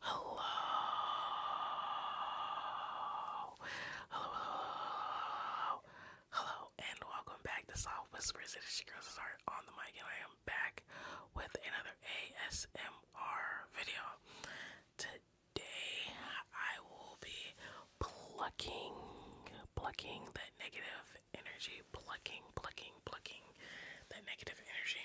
Hello. Hello, hello, and welcome back to Soft Whispers. It is your girl on the mic, and I am back with another ASMR video. Today, I will be plucking, plucking that negative energy, plucking, plucking, plucking that negative energy.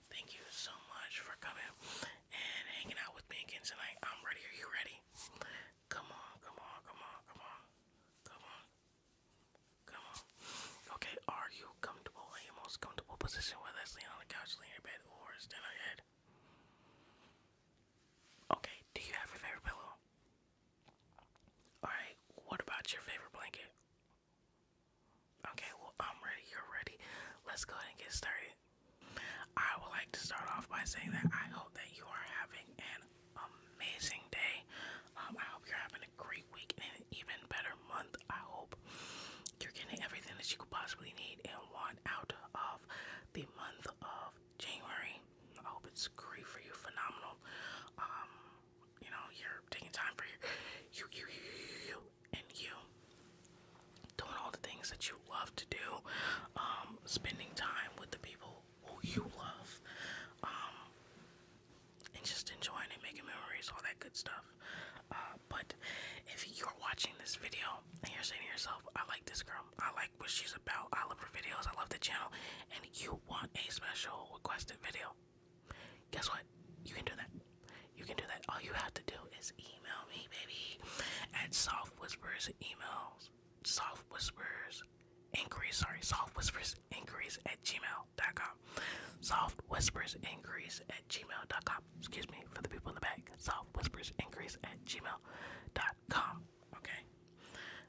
Thank you so much for coming and hanging out with me again tonight. I'm ready. Are you ready? Come on, come on, come on, come on, come on, come on. Okay, are you comfortable in your most comfortable position, whether it's laying on the couch, laying in bed, or standing on Okay, do you have your favorite pillow? Alright, what about your favorite blanket? Okay, well, I'm ready, you're ready. Let's go ahead and get started. I would like to start off by saying that I hope that you are having an amazing day. Um, I hope you're having a great week and an even better month. I hope you're getting everything that you could possibly need and want out of the month of January. I hope it's great for you, phenomenal. Um, you know, you're taking time for you you you you, you and you doing all the things that you love to do, um, spending time with the people who you love, um, and just enjoying and making memories, all that good stuff. Uh, but if you're watching this video and you're saying to yourself, I like this girl, I like what she's about, I love her videos, I love the channel, and you want a special requested video, guess what? You can do that. You can do that. All you have to do is email me, baby, at Soft Whispers Emails. Soft Whispers Inquiries, sorry, Soft Whispers Inquiries at gmail.com. Soft Whispers Inquiries at gmail.com. Excuse me for the people in the back. Soft Whispers Inquiries at gmail.com. Okay?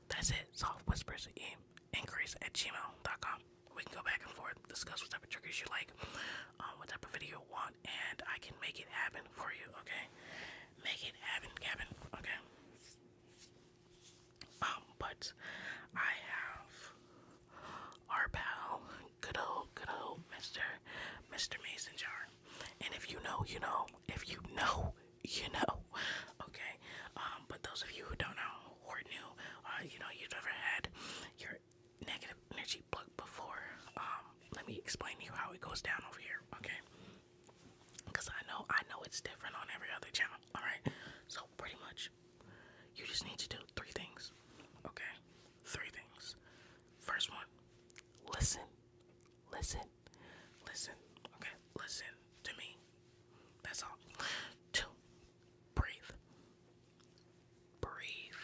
That's it. Soft Whispers Inquiries at gmail.com we can go back and forth, discuss what type of triggers you like, um, what type of video you want, and I can make it happen for you, okay? Make it happen, Gavin, okay? Um, but I have our pal, good old, good old Mr. Mr. Mason Jar. And if you know, you know. If you know, you know. Okay. Um, but those of you who don't know or new, uh, you know, you've never had your negative energy plug before. Um, let me explain to you how it goes down over here, okay? Because I know I know it's different on every other channel. All right, so pretty much, you just need to do three things, okay? Three things. First one, listen, listen, listen. Okay, listen to me. That's all. Two, breathe. Breathe.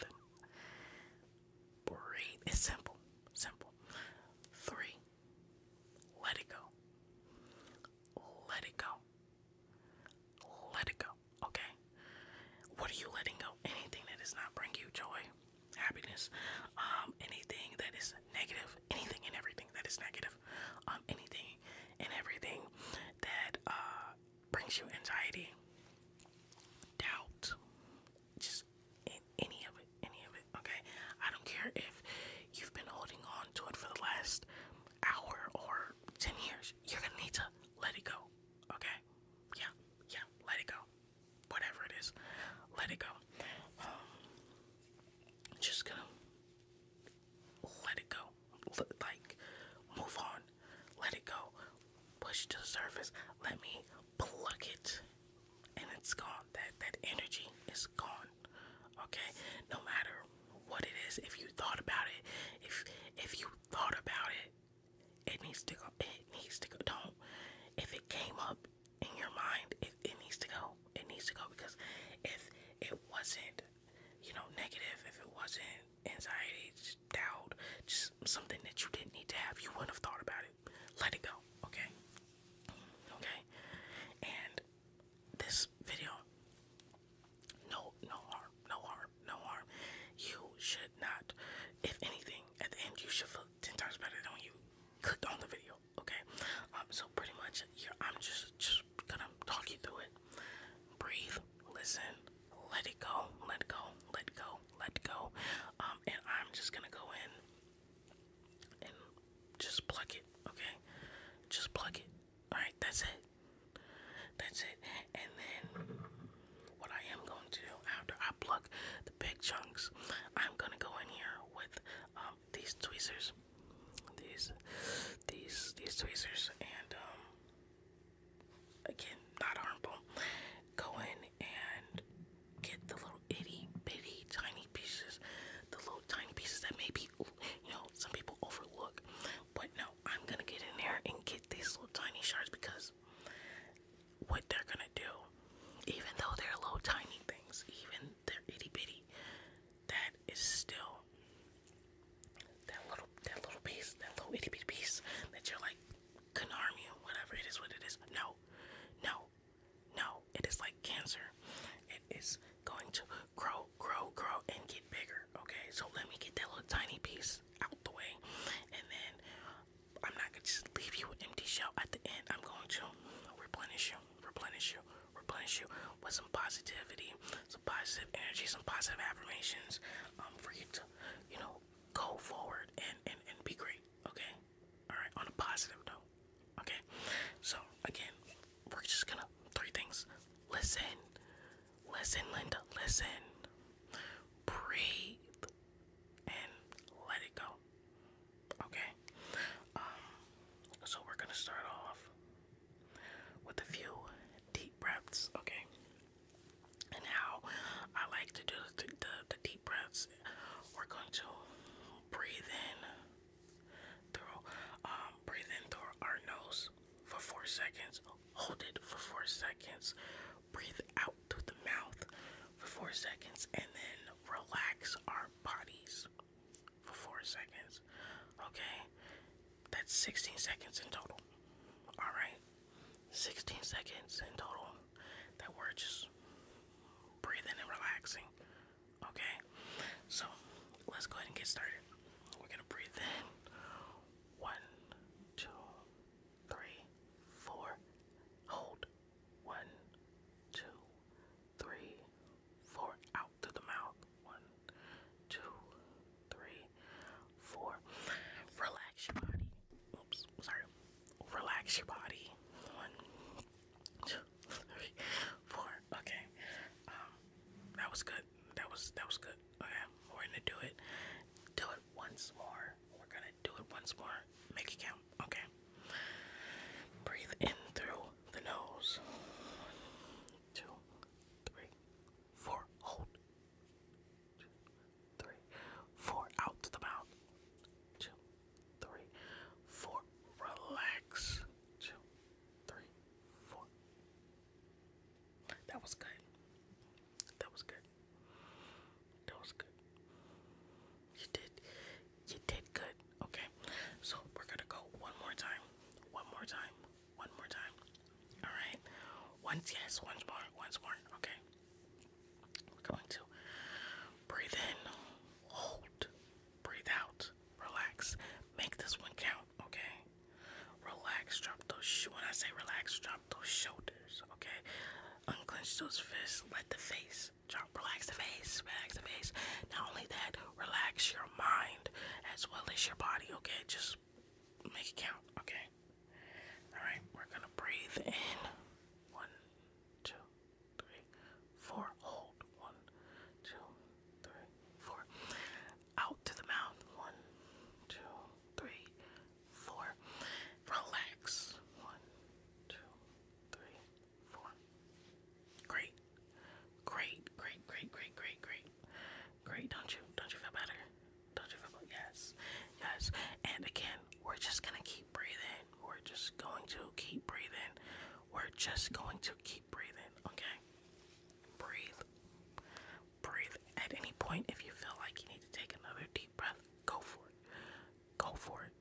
Breathe. It's simple. Simple. Three. Let it go. Let it go. Let it go. Okay? What are you letting go? Anything that is not bring you joy, happiness, um, anything that is negative, anything and everything that is negative, um, anything and everything that uh brings you anxiety, doubt, just any of it, any of it, okay? I don't care if you've been holding on to it for the last hour or 10 years, you're gonna need to let it go, okay? Yeah, yeah, let it go. Whatever it is, let it go. Um, just gonna let it go, like move on let it go. Push it to the surface. Let me plug it. And it's gone. That that energy is gone. Okay? No matter what it is, if you thought about it, if if you thought about it, it needs to go. It needs to go. Don't. If it came up in your mind, it, it needs to go. It needs to go because if it wasn't, you know, negative, if it wasn't anxiety, doubt, just something that you didn't need to have. You wouldn't have thought about it. Let it go, okay? Okay? And this video, no, no harm, no harm, no harm. You should not, if anything, at the end, you should feel 10 times better than when you clicked on the video, okay? Um, so pretty much, yeah, I'm just, just gonna talk you through it. Breathe, listen, let it go, let it go, let go, let go. Um, and I'm just gonna go in and just plug it, okay? Just plug it. Alright, that's it. That's it. And then what I am going to do after I plug the big chunks, I'm gonna go in here with um, these tweezers. These these these tweezers and um, again, not harmful, go in and get the little itty bitty tiny pieces, the little tiny pieces that maybe, you know, some people overlook. But no, I'm gonna get in there and get these little tiny shards because what they're gonna do, even though they're little tiny things, even they're itty bitty, that is still that little that little piece, that little itty bitty piece that you're like could harm you, whatever it is, what it is. No, no, no. It is like cancer. It is going to grow, grow, grow, and get bigger. Okay, so let me get that little tiny piece out the way, and then I'm not gonna just leave you an empty shell at the end. I'm going to replenish you, replenish you, replenish you with some positivity, some positive energy, some positive affirmations, um, for you to, you know, go forward and, and, and be great, okay? Alright, on a positive note, okay? So, again, we're just gonna, three things listen, listen, Linda, listen, breathe, and let it go, okay? Um, so, we're gonna start off with a few deep breaths, okay? and I like to do the, deep breaths. We're going to breathe in through, um, breathe in through our nose for four seconds, hold it for four seconds, breathe out through the mouth for four seconds, and then relax our bodies for four seconds. Okay, that's 16 seconds in total. All right. 16 seconds in total that we're just breathing and relaxing. Okay, so let's go ahead and get started. We're gonna breathe in one, two, three, four, hold one, two, three, four, out through the mouth one, two, three, four. Relax your body. Oops, sorry. Relax your body. One, two, three, four. Okay. Um, that was good. That was that was good. Okay, we're gonna do it. Do it once more. We're gonna do it once more. Make it count. Okay. Breathe in through the nose. One, two, three, four. Hold two, three, four. Out to the mouth. Two, three, four. Relax. Two, three, four. That was good. That was good. That was good. You did. You did good. Okay. So we're gonna go one more time. One more time. One more time. All right. Once, yes, once more, once more. Okay. We're going to breathe in, hold, breathe out, relax. Make this one count, okay? Relax, drop those When I say relax, drop those shoulders, okay? Unclench those fists, let the face drop. Relax the face, relax the face. Not only that, relax your mind as well as your body, okay? Just Let's make it count. Okay. All right. We're gonna breathe in. One, two, three, four. Hold. One, two, three, four. Out to the mouth. One, two, three, four. Relax. One, two, three, four. Great. Great, great, great, great, great, great. Great, don't you? Don't you feel better? Don't you feel better? Yes, yes. And again, we're just gonna keep breathing. We're just going to keep breathing. We're just going to keep breathing, okay? Breathe. Breathe. At any point, if you feel like you need to take another deep breath, go for it. Go for it.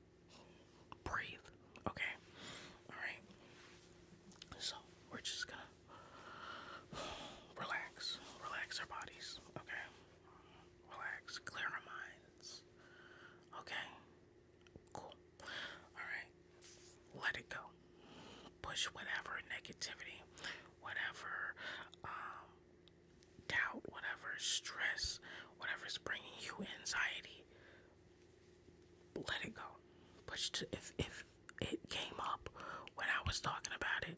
Breathe, okay? Alright. So, we're just gonna Relax. Relax our bodies, okay? Relax. Clear our minds. Okay? Cool. Alright. Let it go. Push whatever negativity, whatever um, doubt, whatever stress, whatever's bringing you anxiety. Let it go. Push to if if it came up when I was talking about it,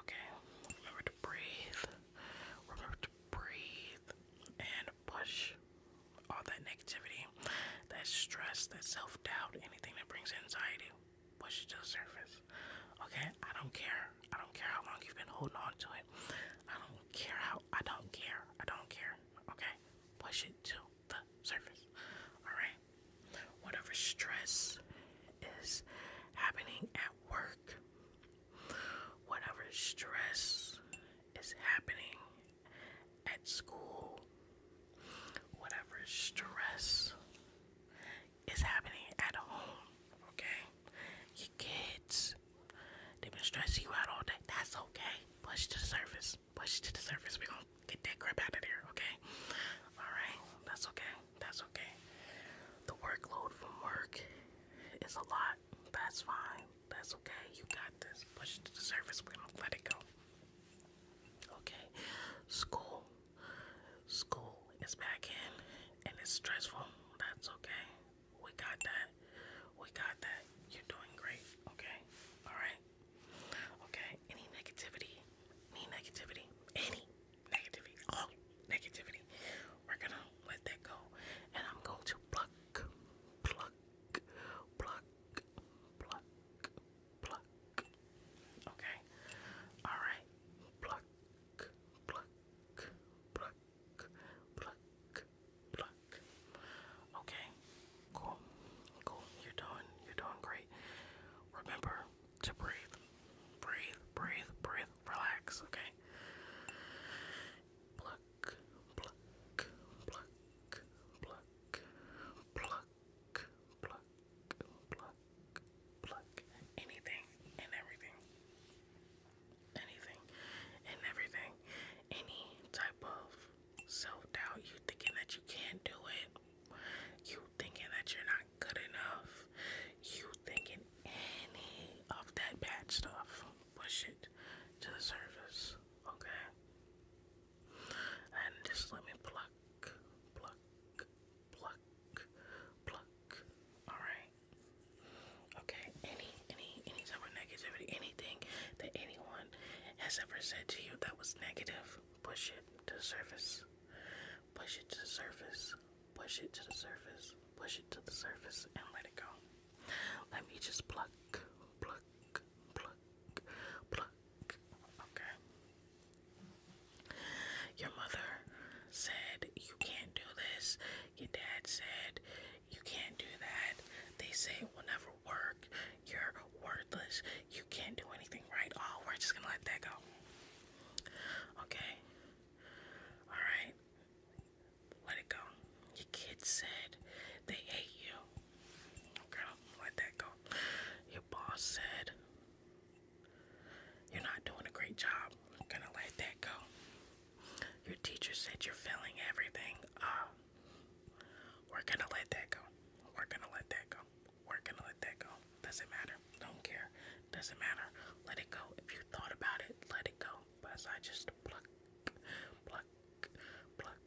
Okay, remember to breathe. Remember to breathe and push all that negativity, that stress, that self doubt, anything that brings anxiety. Push to the surface. Okay, I don't care. I don't care how long you've been holding on to it. I don't care how. I don't care. I don't care. Okay, push it to the surface. All right, whatever stress is happening work, whatever stress is happening at school, whatever stress is happening at home, okay? Your kids, they've been stressing you out all day. That's okay. Push to the surface. Push to the surface. We're gonna get that crap out of there, okay? Alright, that's okay. That's okay. The workload from work is a lot. That's fine. That's okay. You got this. Push to the surface. let it go. Okay. School. School is back in and it's stressful. That's okay. We got that. We got that. You're doing great. Okay. Alright. Okay. Any negativity? Any negativity? Any negativity, all oh, negativity. We're gonna let that go, and I'm going to pluck, pluck, pluck, pluck, pluck. Okay, all right, pluck, pluck, pluck, pluck, pluck. Okay, cool, cool. You're doing, you're doing great. Remember, to breathe. Breathe, breathe, breathe. Relax, okay? Pluck, pluck, pluck, pluck, pluck, pluck, pluck, pluck. Anything and everything. Anything and everything. Any type of self doubt, you thinking that you can't do it, you thinking that you're not good enough. You thinking any of that bad stuff, push it to the surface, okay? And just let me pluck, pluck, pluck, pluck. Alright? Okay, any, any, any type of negativity, anything that anyone has ever said to you that was negative, push it to the surface. Push it to the surface push it to the surface, push it to the surface, and let it go. Let me just pluck, pluck, pluck, pluck. Okay. Your mother said you can't do this. Your dad said you can't do that. They say it will never work. You're worthless. You can't do anything right. Oh, we're just gonna let that go. Okay. Alright? Let it go. Your kids said they hate you. Girl, let that go. Your boss said you're not doing a great job. I'm gonna let that go. Your teacher said you're failing everything. Uh, we're gonna let that go. We're gonna let that go. We're gonna let that go. Doesn't matter. Don't care. Doesn't matter. Let it go. If you thought about it, let it go. But I just pluck, pluck, pluck,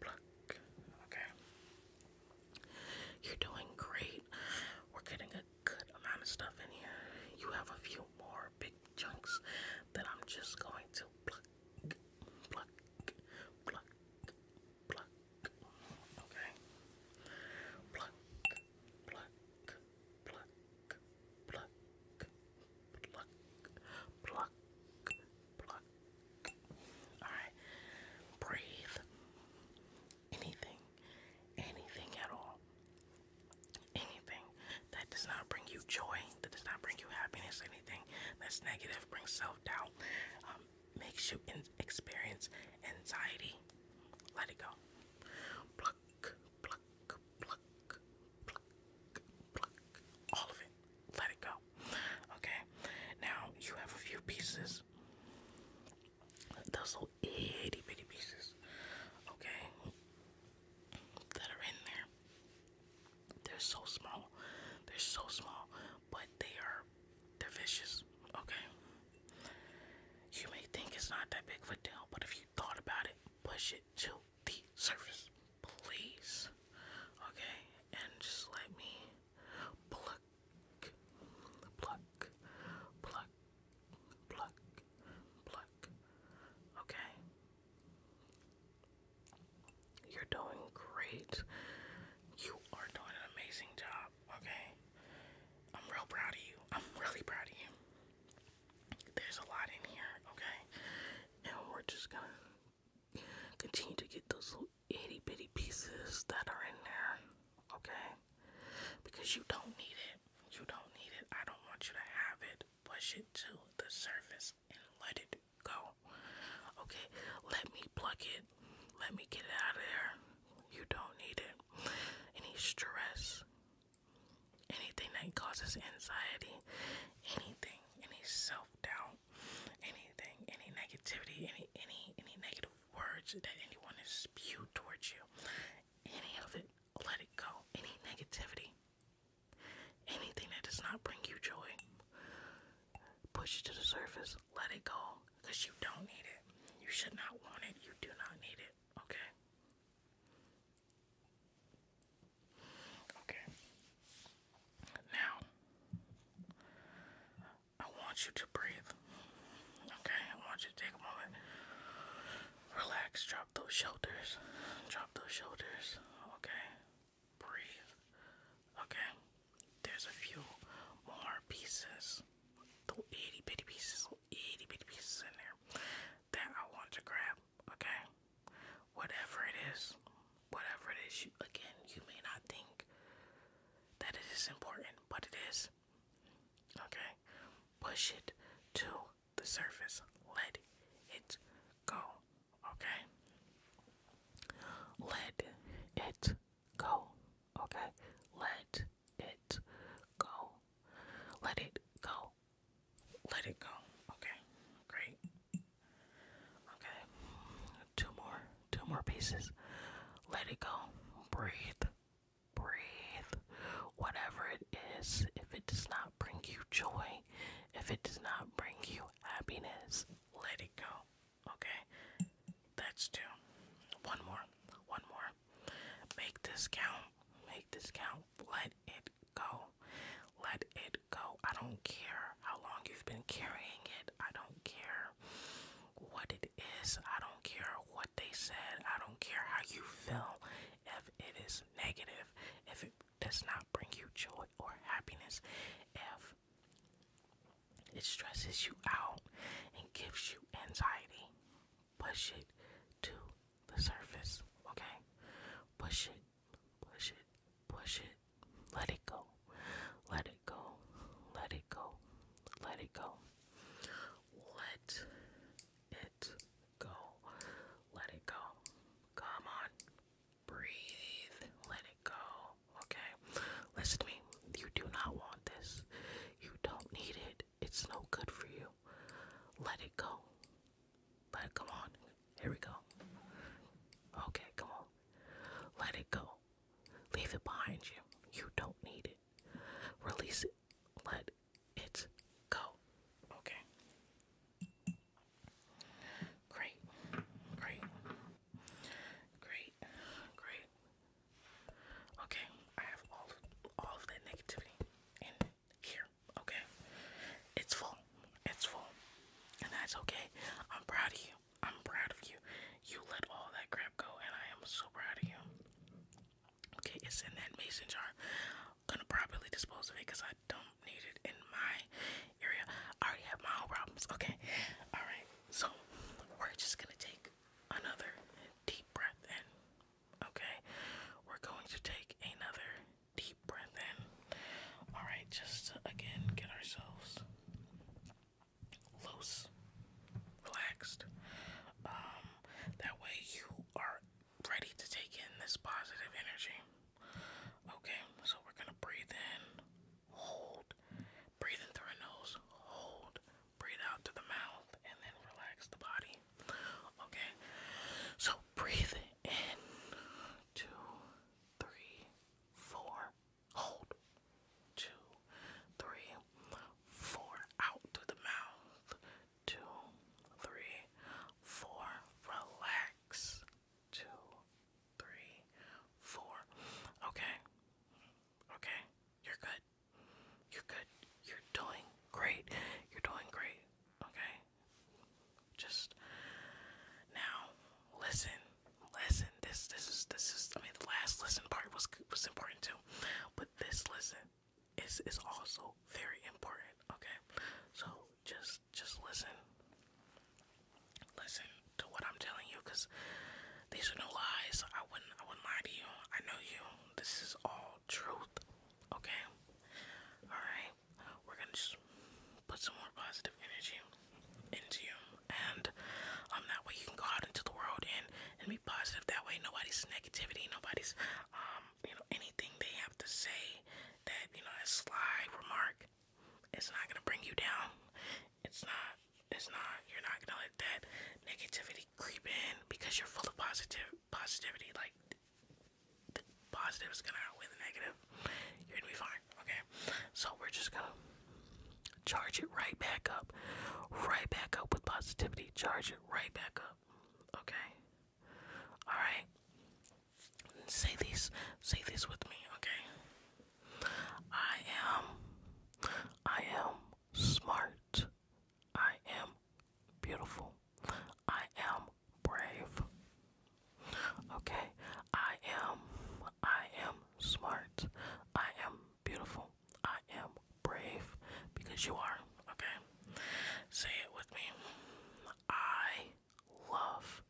pluck. Okay. You're doing great. We're getting a good amount of stuff in here. You have a few more big chunks that I'm just going to pluck, pluck, pluck, pluck. Okay. Pluck, pluck, pluck, pluck, pluck, pluck, pluck. Alright. Breathe. Anything. Anything at all. Anything that does not bring you joy, that does not bring you happiness, anything that's negative brings self doubt, um, makes you experience anxiety. Let it go. Pluck, pluck, pluck, pluck, pluck. All of it. Let it go. Okay. Now you have a few pieces. Those little itty bitty pieces. Okay. That are in there. They're so small. They're so small. But they are they're vicious. Okay. You may think it's not that big of a deal, but if you thought about it, push it to the surface, please. Okay, and just let me pluck, pluck, pluck, pluck, pluck. Okay, you're doing great. You are doing an amazing job okay? I'm real proud of you. I'm really proud of you. There's a lot in here, okay? And we're just gonna continue to get those little itty bitty pieces that are in there, okay? Because you don't need it. You don't need it. I don't want you to have it. Push it to the surface and let it go. Okay, let me pluck it. Let me get it out of there. You don't need it. Any stress, anything that causes anxiety, anything, any self doubt, anything, any negativity, any any any negative words that anyone has spewed towards you, any of it, let it go. Any negativity, anything that does not bring you joy, push it to the surface, let it go. Because you don't need it. You should not want it. You do not need it. Okay? Okay. Now, I want you to breathe. Okay? I want you to take a moment. Relax. Drop those shoulders. Drop those shoulders. Okay? Breathe. Okay? There's a few more pieces little itty bitty pieces, little itty bitty pieces in there that I want to grab. Okay, whatever it is, whatever it is, again, you may not think that it is important, but it is. Okay, push it to the surface, let it go. Okay, let it go. Okay, let it go. Let it go. Let it go. Okay, great. Okay, two more, two more pieces. Let it go. Breathe. Breathe. Whatever it is, if it does not bring you joy, if it does not bring you happiness, let it go. Okay, that's two. One more. One more. Make this count. Make this count. Let it go. Let it go. I don't care how long you've been carrying it. I don't care what it is. I don't care what they said. I don't care how you feel. If it is negative, if it does not bring you joy or happiness, if it stresses you out and gives you anxiety, push it to the surface, okay? Push it, push it, push it, let it go, let it go, let it go, let it go, let it go, let it go. Come on, breathe, let it go, okay? Listen to me, you do not want this, you don't need it it's no good for you. Let it go. Let come on. Here we go. Okay, come on. Let it go. Leave it behind you. You don't need it. Release it. Let it go. Okay. Great. Great. Great. Great. Okay, I have all all of that negativity in here. Okay, it's full. It's full, and that's okay. I'm proud of you. I'm proud of you. You let all that crap go, and I am so proud of you. Okay, it's in that mason jar. Gonna properly dispose of it because I don't need it in my area. I already have my own problems. Okay, all right. So we're just gonna take another deep breath in. Okay, we're going to take another deep breath in. All right, just again get ourselves loose, relaxed. Um, that way you are ready to take in this positive energy. Okay, so we're gonna breathe in, hold, breathe in through our nose, hold, breathe out to the mouth and then relax the body. Okay, so breathe in two, three, four, hold two, three, four, out through the mouth, two, three, four, relax, two, three, four. Okay, okay, you're good. You're good. You're doing great. You're doing great. Okay? Just now listen. Listen. This this is this is I mean the last listen part was was important too. But this listen is is also very important. Okay? So just just listen. Listen to what I'm telling you cuz these are no lies. I wouldn't I wouldn't lie to you. I know you. This is all truth. Okay? Alright. We're gonna just put some more positive energy into you. And um that way you can go out into the world and, and be positive. That way nobody's negativity, nobody's um, you know, anything they have to say that, you know, a sly remark it's not gonna bring you down. It's not it's not. You're not gonna let that negativity creep in because you're full of positive positivity. Like the positive is gonna win the negative. You're gonna be fine. Okay. So we're just gonna charge it right back up, right back up with positivity. Charge it right back up. Okay. All right. Say this. Say this with me. Okay. I am. I am smart. I am beautiful. I am brave. Okay, I am, I am smart. I am beautiful. I am brave because you are. Okay, say it with me. I love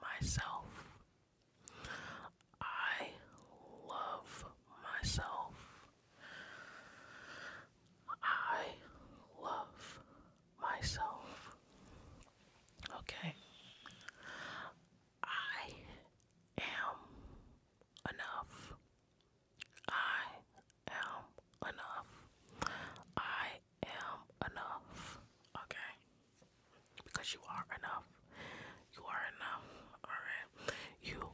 myself. I love myself. I love myself. Okay? I am enough. I am enough. I am enough. Okay? Because you are enough. You are enough, alright? You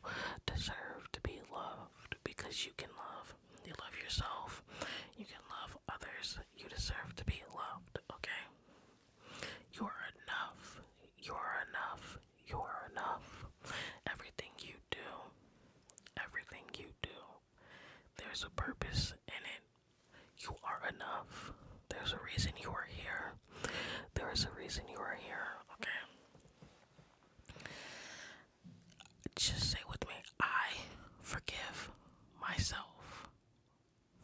deserve to be loved because you can love. You love yourself, you can love others, you deserve to be loved, okay? You are enough, you are enough, you are enough. Everything you do, everything you do, there's a purpose in it. You are enough. There's a reason you are here. There is a reason you are here, okay? Just say with me, I forgive myself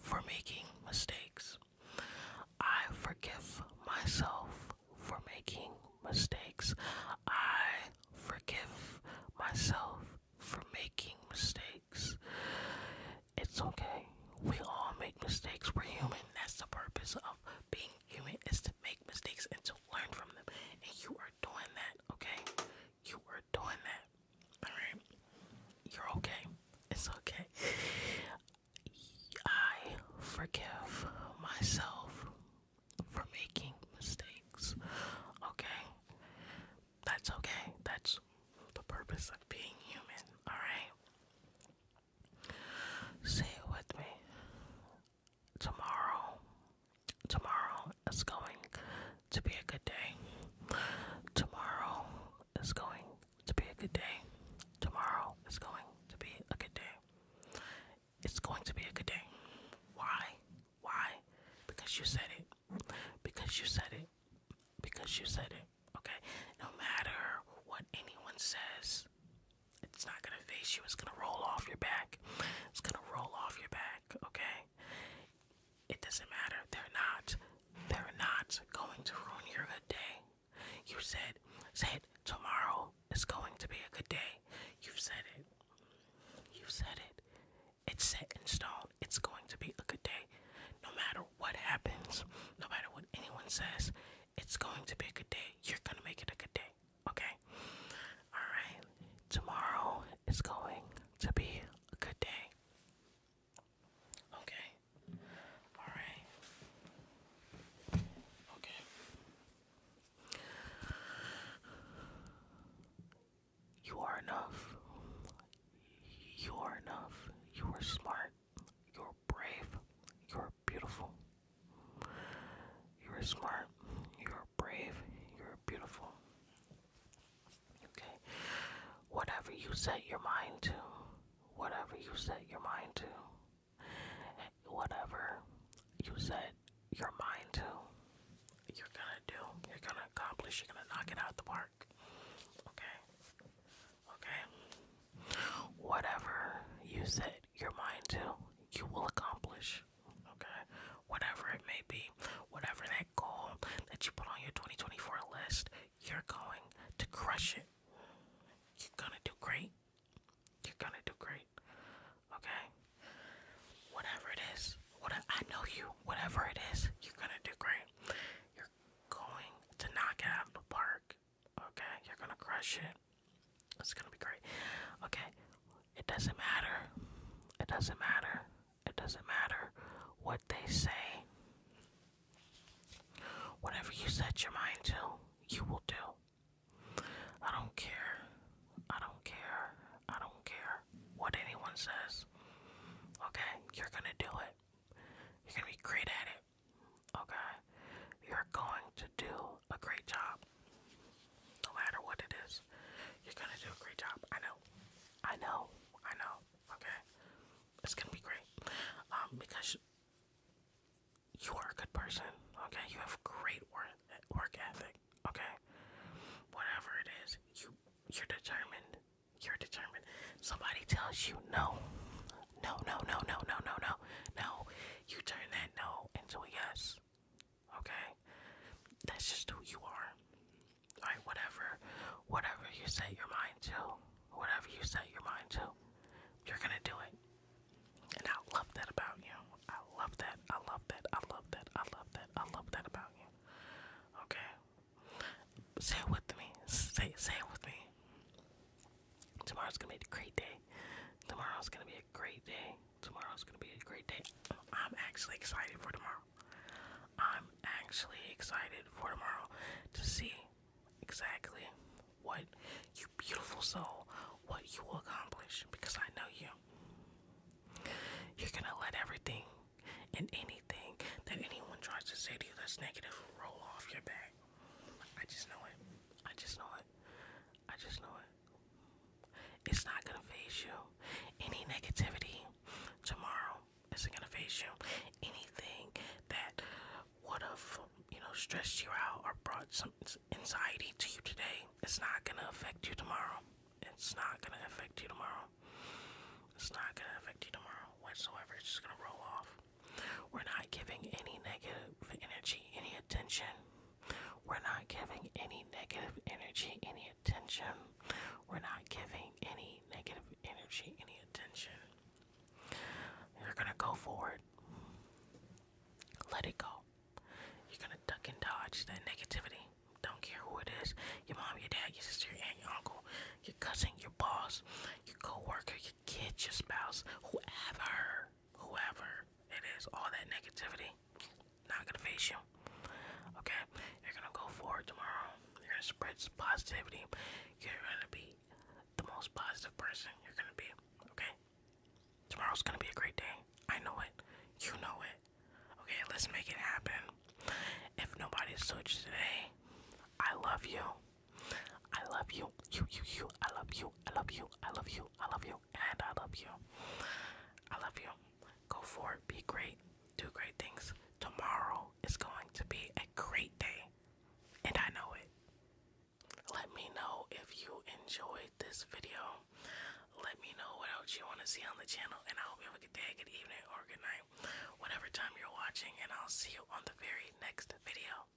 for making mistakes. I forgive myself for making mistakes. I forgive myself for making mistakes. It's okay. We all make mistakes. We're human. That's the purpose of being Human is to make mistakes and to learn from them. And you are doing that, okay? You are doing that. Alright? You're okay. It's okay. I forgive myself for making mistakes. Okay? That's okay. That's the purpose of being human. Alright? Say it with me. Tomorrow, tomorrow is going to be a good day. Tomorrow is going to be a good day. Tomorrow is going to be a good day. It's going to be a good day. Why? Why? Because you said it. Because you said it. Because you said it. Okay? No matter what anyone says, it's not gonna face you, it's gonna roll off your back. It's gonna roll off your back, okay? It doesn't matter. They're not they're not going to ruin your good day. You said said tomorrow is going to be a good day. You've said it. You've said it. It's set and stone. It's going to be a good day. No matter what happens, no matter what anyone says, it's going to be a good day. You're going to make it a good day. Okay? Alright. Tomorrow is going to be a good day. Okay? Alright. Okay. You are enough. You are enough. You are smart. You're brave. You're beautiful. You're smart. You're brave. You're beautiful. Okay. Whatever you set your mind to, whatever you set your mind to, whatever you set your mind to, you're gonna do. You're gonna accomplish. You're gonna knock it out the park. Okay. Okay. Whatever you set your mind to, you will accomplish. Okay, whatever it may be, whatever that goal that you put on your 2024 list, you're going to crush it. You're gonna do great. You're gonna do great. Okay, whatever it is, what I know you, whatever it is, you're gonna do great. You're going to knock it out of the park. Okay, you're gonna crush it. It's gonna be great. Okay, it doesn't matter. It doesn't matter. It doesn't matter what they say. Whatever you set your mind to, you will do. I don't care. I don't care. I don't care what anyone says. Okay, you're gonna do it. You're gonna be great at it. Okay? You're going to do a great job. No matter what it is, you're going to do a great job. I know. I know. I know. Okay? It's going to be great. Um, because you are a good person. Okay? You have great work, work ethic. Okay? Whatever it is, you, you're determined. You're determined. Somebody tells you no. No, no, no, no, no, no, no, no you turn that no into a yes. Okay? That's just who you are. Alright, whatever whatever you set your mind to, whatever you set your mind to, you're gonna do it. And I love that about you. I love that. I love that. I love that. I love that. I love that about you. Okay. Say it with me. Say say it with me day. Tomorrow's gonna be a great day. Tomorrow's gonna be a great day. Tomorrow's gonna be a great day. I'm actually excited for tomorrow. I'm actually excited for tomorrow to see exactly what you beautiful soul, what you will accomplish because I know you. You're gonna let everything and anything that anyone tries to say to you that's negative roll off your back. I just know it. I just know it. I just know it. It's not gonna phase you. Any negativity tomorrow isn't gonna phase you. Anything that would have, you know, stressed you out or brought some anxiety to you today, it's not gonna affect you tomorrow. It's not gonna affect you tomorrow. It's not gonna affect you tomorrow whatsoever. It's just gonna roll off. We're not giving any negative energy any attention. We're not giving any negative energy any attention. We're not giving any negative energy any attention. You're going to go forward. Let it go. You're going to duck and dodge that negativity. Don't care who it is your mom, your dad, your sister, your aunt, your uncle, your cousin, your boss, your co worker, your kid, your spouse, whoever whoever it is, all that negativity, not gonna face you. Okay, you're gonna go forward tomorrow. You're gonna spread positivity. You're gonna be the most positive person you're gonna be. Okay, tomorrow's gonna be a great day. I know it. You know it. Okay, let's make it happen. If nobody's switched today, I love you. I love you, you, you, you. I love you, I love you, I love you, I love you, and I love you. I love you. Go for it. Be great. Do great things. Tomorrow is going to be a great day, and I know it. Let me know if you enjoyed this video. Let me know what else you want to see on the channel, and I hope you have a good day, good evening, or good night, whatever time you're watching, and I'll see you on the very next video.